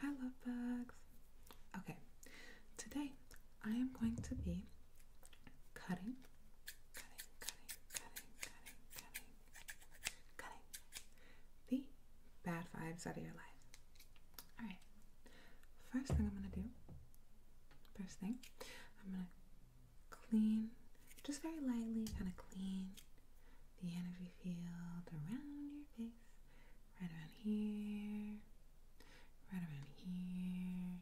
Hi love bugs! Okay, today I am going to be cutting, cutting, cutting, cutting, cutting, cutting, cutting the bad vibes out of your life. Alright, first thing I'm gonna do, first thing, I'm gonna clean, just very lightly, kind of clean, the energy field around your face, right around here, right around here,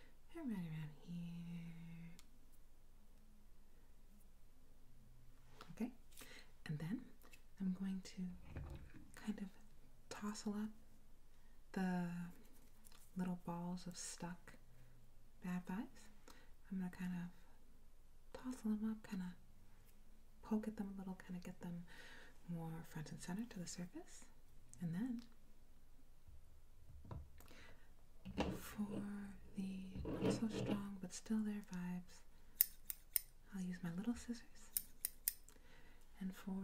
and right around here. Okay, and then I'm going to kind of tossle up the little balls of stuck bad vibes. I'm gonna kind of toss them up, kind of to poke at them a little, kind of get them more front and center to the surface. And then for the not so strong but still there vibes, I'll use my little scissors. And for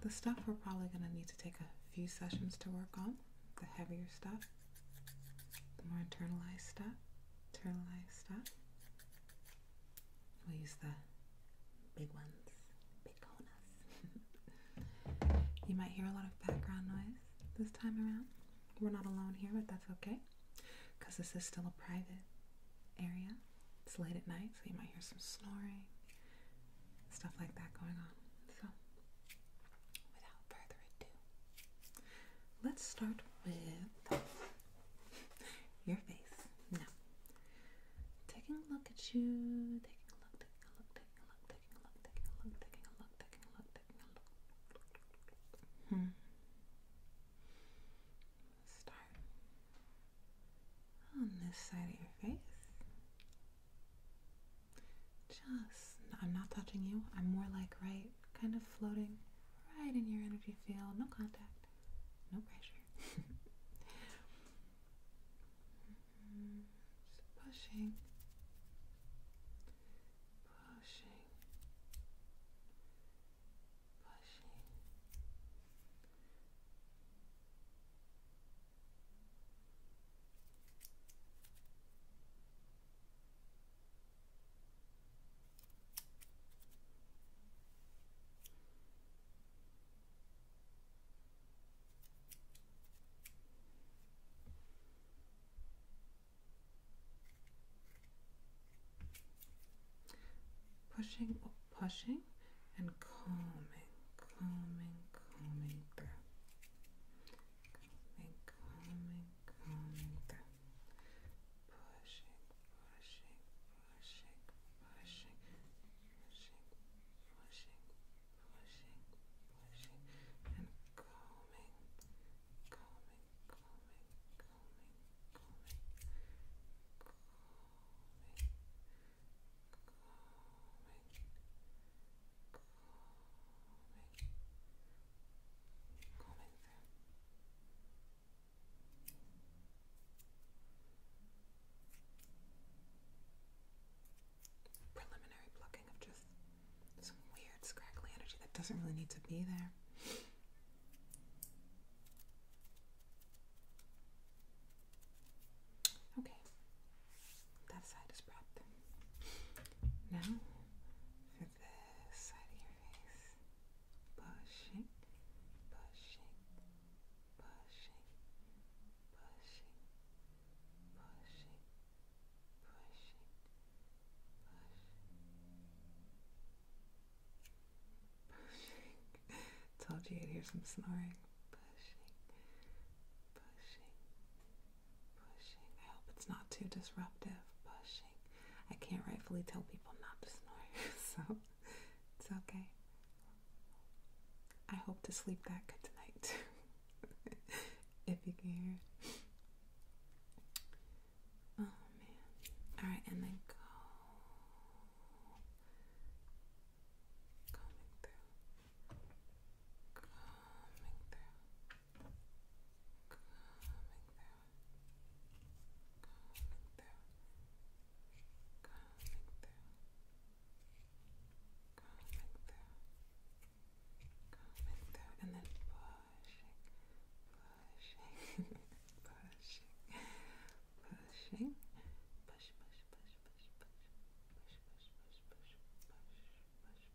the stuff we're probably going to need to take a few sessions to work on, the heavier stuff, the more internalized stuff, internalized stuff. We'll use the big ones, big you might hear a lot of background noise this time around. We're not alone here, but that's okay because this is still a private area. It's late at night, so you might hear some snoring, stuff like that going on. So, without further ado, let's start with your face. Now, taking a look at you, taking a look, taking a look, taking a look, taking a look, taking a look, taking a look, taking a look, taking a look. Hmm. Let's start on this side of your face. Just, I'm not touching you. I'm more like right Kind of floating right in your energy field. No contact, no pressure. Mm-hmm. pushing, pushing. Pushing, Pushing, pushing, and calming, calming, calming through. Coming, coming, coming down. Pushing, pushing, pushing, pushing, pushing, pushing, pushing, pushing, and coming, coming, coming, coming, coming, coming, coming, coming. Preliminary plucking of just some weird scraggly energy that doesn't really need to be there. Okay, that side is prepped. Now for this side here pushing, pushing, pushing, pushing, pushing, pushing, pushing, Told you i would hear some snoring. Pushing, pushing, Pushing. I hope it's not too disruptive. Pushing. I can't rightfully tell people not to snore, so it's okay. I hope to sleep that good tonight, if you can Oh man. Alright, and then go. Coming through. Coming through through, and then pushing, pushing, pushing, pushing, push, push, push, push, push, push, push, push, push,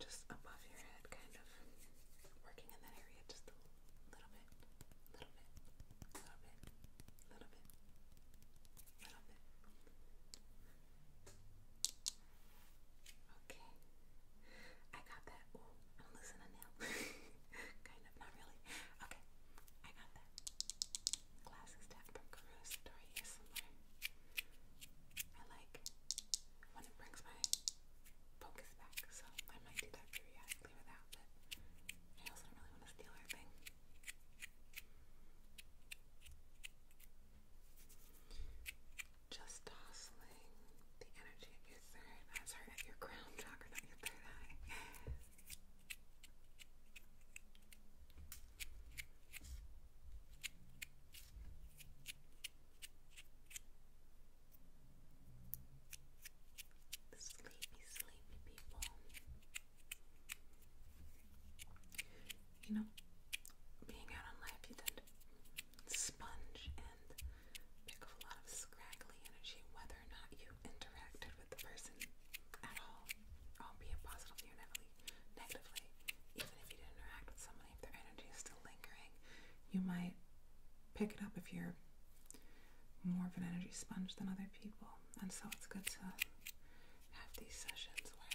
Just above your head, kind of working in that area just a little bit, little bit, little bit, little bit, little bit. Okay. I got that. I'm losing a nail. kind of, not really. Okay. I got that. Glasses to have progressed or ASMR. I like when it brings my focus back, so I might do that periodically with but I also don't really want to steal her thing. Just tossing the energy at your third, your crown chakra, not your third eye. Sleepy, sleepy people. You know, being out on you tend to sponge and pick up a lot of scraggly energy, whether or not you interacted with the person at all or oh, be it positively or negatively, even if you interact with somebody, if their energy is still lingering, you might pick it up if you're more of an energy sponge than other people. And so it's good to have these sessions where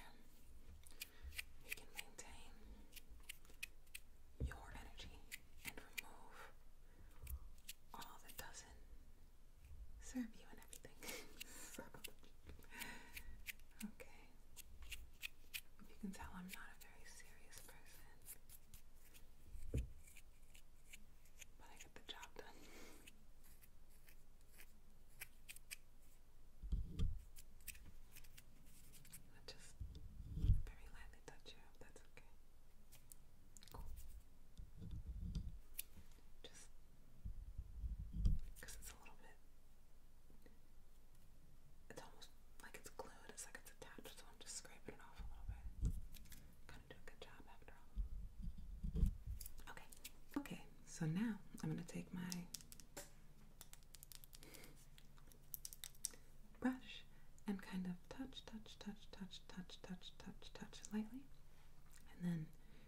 you can maintain your energy and remove all that doesn't serve you and everything. so, okay. You can tell I'm not a very serious person, but I get the job done. I just very lightly touch you that's okay. Cool. Just because it's a little bit. It's almost like it's glued. It's like it's attached, so I'm just scraping it off a little bit. Kind of do a good job after all. Okay. Okay. So now I'm gonna take my brush and kind of touch, touch, touch, touch, touch, touch, touch, touch lightly, and then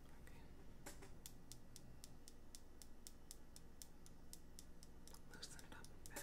Okay. Loosen it up a bit.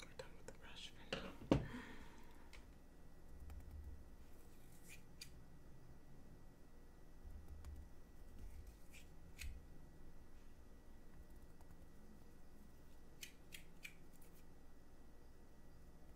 We're done with the brush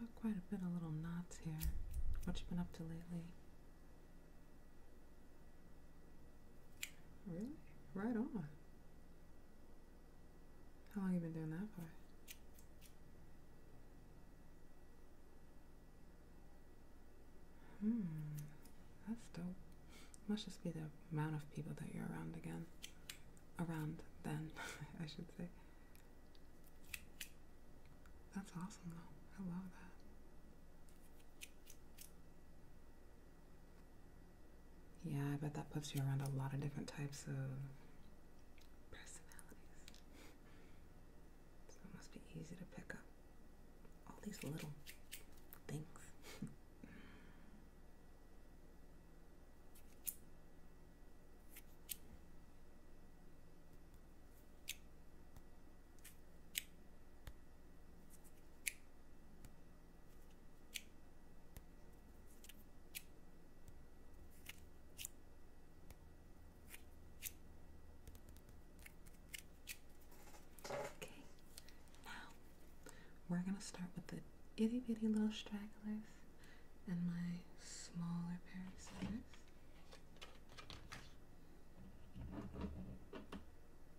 Got quite a bit of little knots here. What you been up to lately? Really? Right on. How long you been doing that for? Hmm, that's dope. Must just be the amount of people that you're around again. Around then, I should say. That's awesome though. I love that. Yeah, I bet that puts you around a lot of different types of personalities. it must be easy to pick up all these little things. Okay, now we're going to start with the itty bitty little stragglers and my smaller pair of scissors.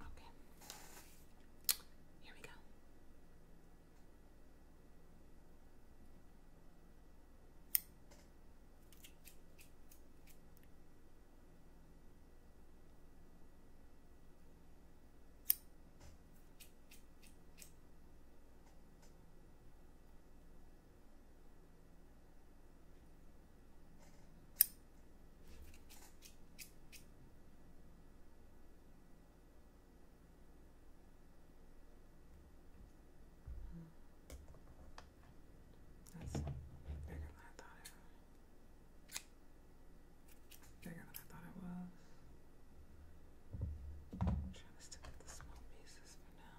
Okay. Here we go. Okay. That's bigger than I thought it was. Bigger than I thought it was. trying to stick with the small pieces for now.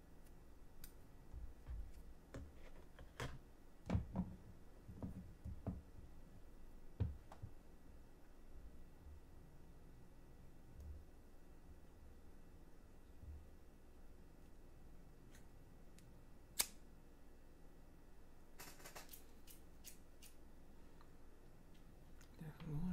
There's more.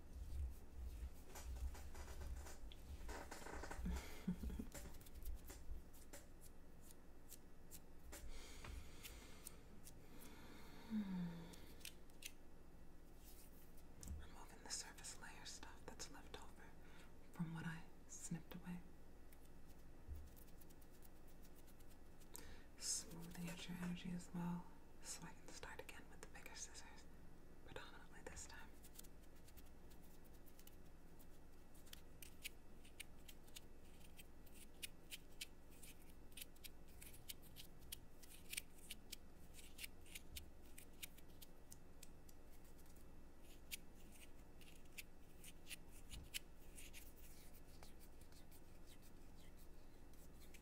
Removing the surface layer stuff that's left over from what I snipped away smoothing out your energy as well. So I can start again with the bigger scissors, predominantly this time.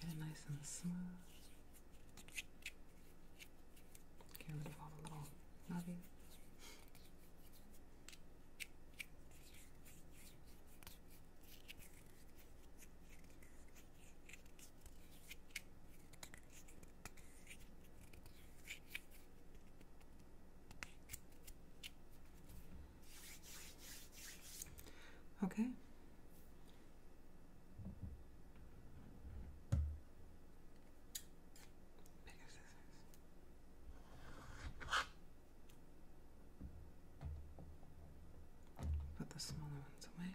Get it nice and smooth. Get rid of all the little knobbies. Okay, Put the smaller ones away.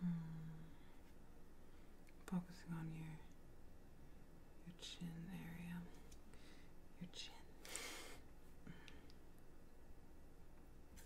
Hmm. Focusing on your your chin area, your chin.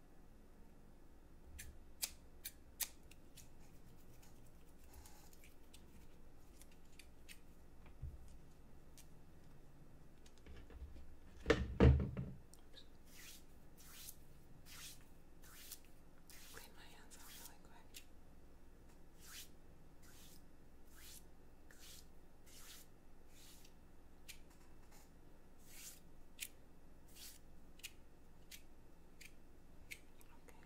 Clean my hands off really quick. Take a look. Okay.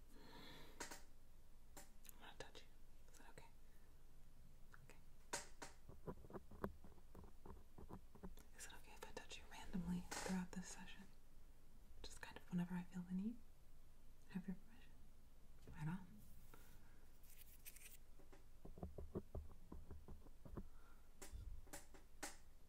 I'm gonna touch you. Is that okay? Okay. Is it okay if I touch you randomly throughout this session? Just kind of whenever I feel the need? Have your permission? Right on.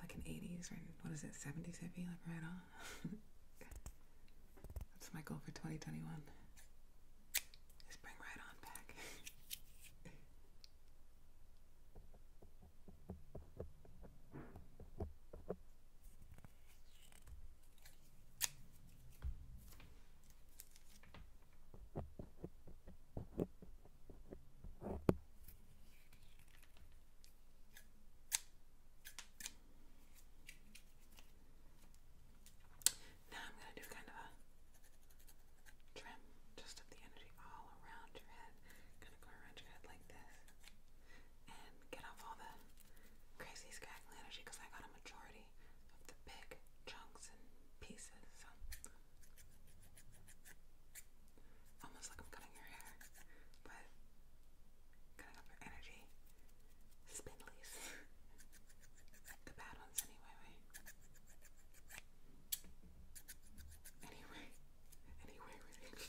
like an 80s or what is it, 70s hippie, like right on. That's my goal for 2021. Just bring right on back. Now I'm going to do kind of a trim just of the energy all around your head. Kind of go around your head like this and get off all the crazy scraggly energy I got a majority of the big chunks and pieces. Almost like I'm cutting your hair, but cutting up your energy. Spindlies. the bad ones, anyway, Anyway. Anyway, really.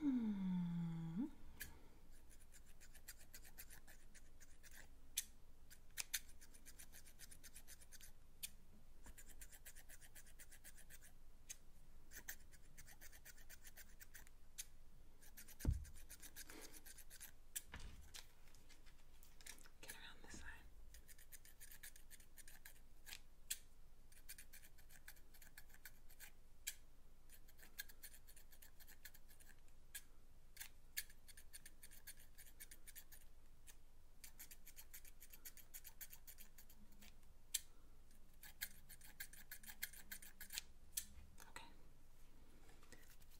Hmm. Get around this side. Okay.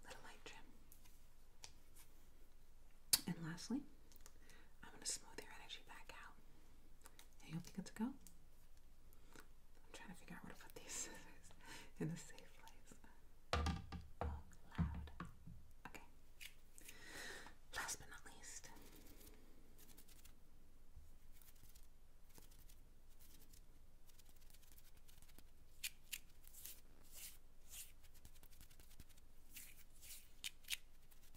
Little light trim. And lastly, I'm going to smooth your energy back out. Yeah, you think it's a go? I'm trying to figure out where to put these scissors in a safe place. Okay. Last but not least.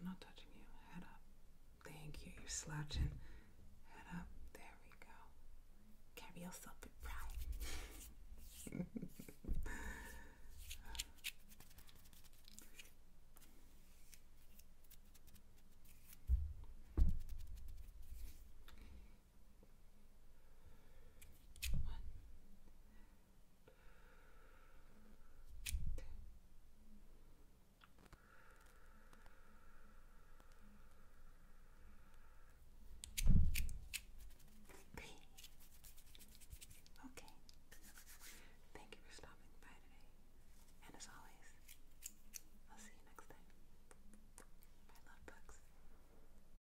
I'm not touching you. Head up. Thank you. You're slouching. Head up. There we go. Carry yourself with pride. One. Okay. Thank you for stopping by today. And as always, I'll see you next time. Bye, love bugs.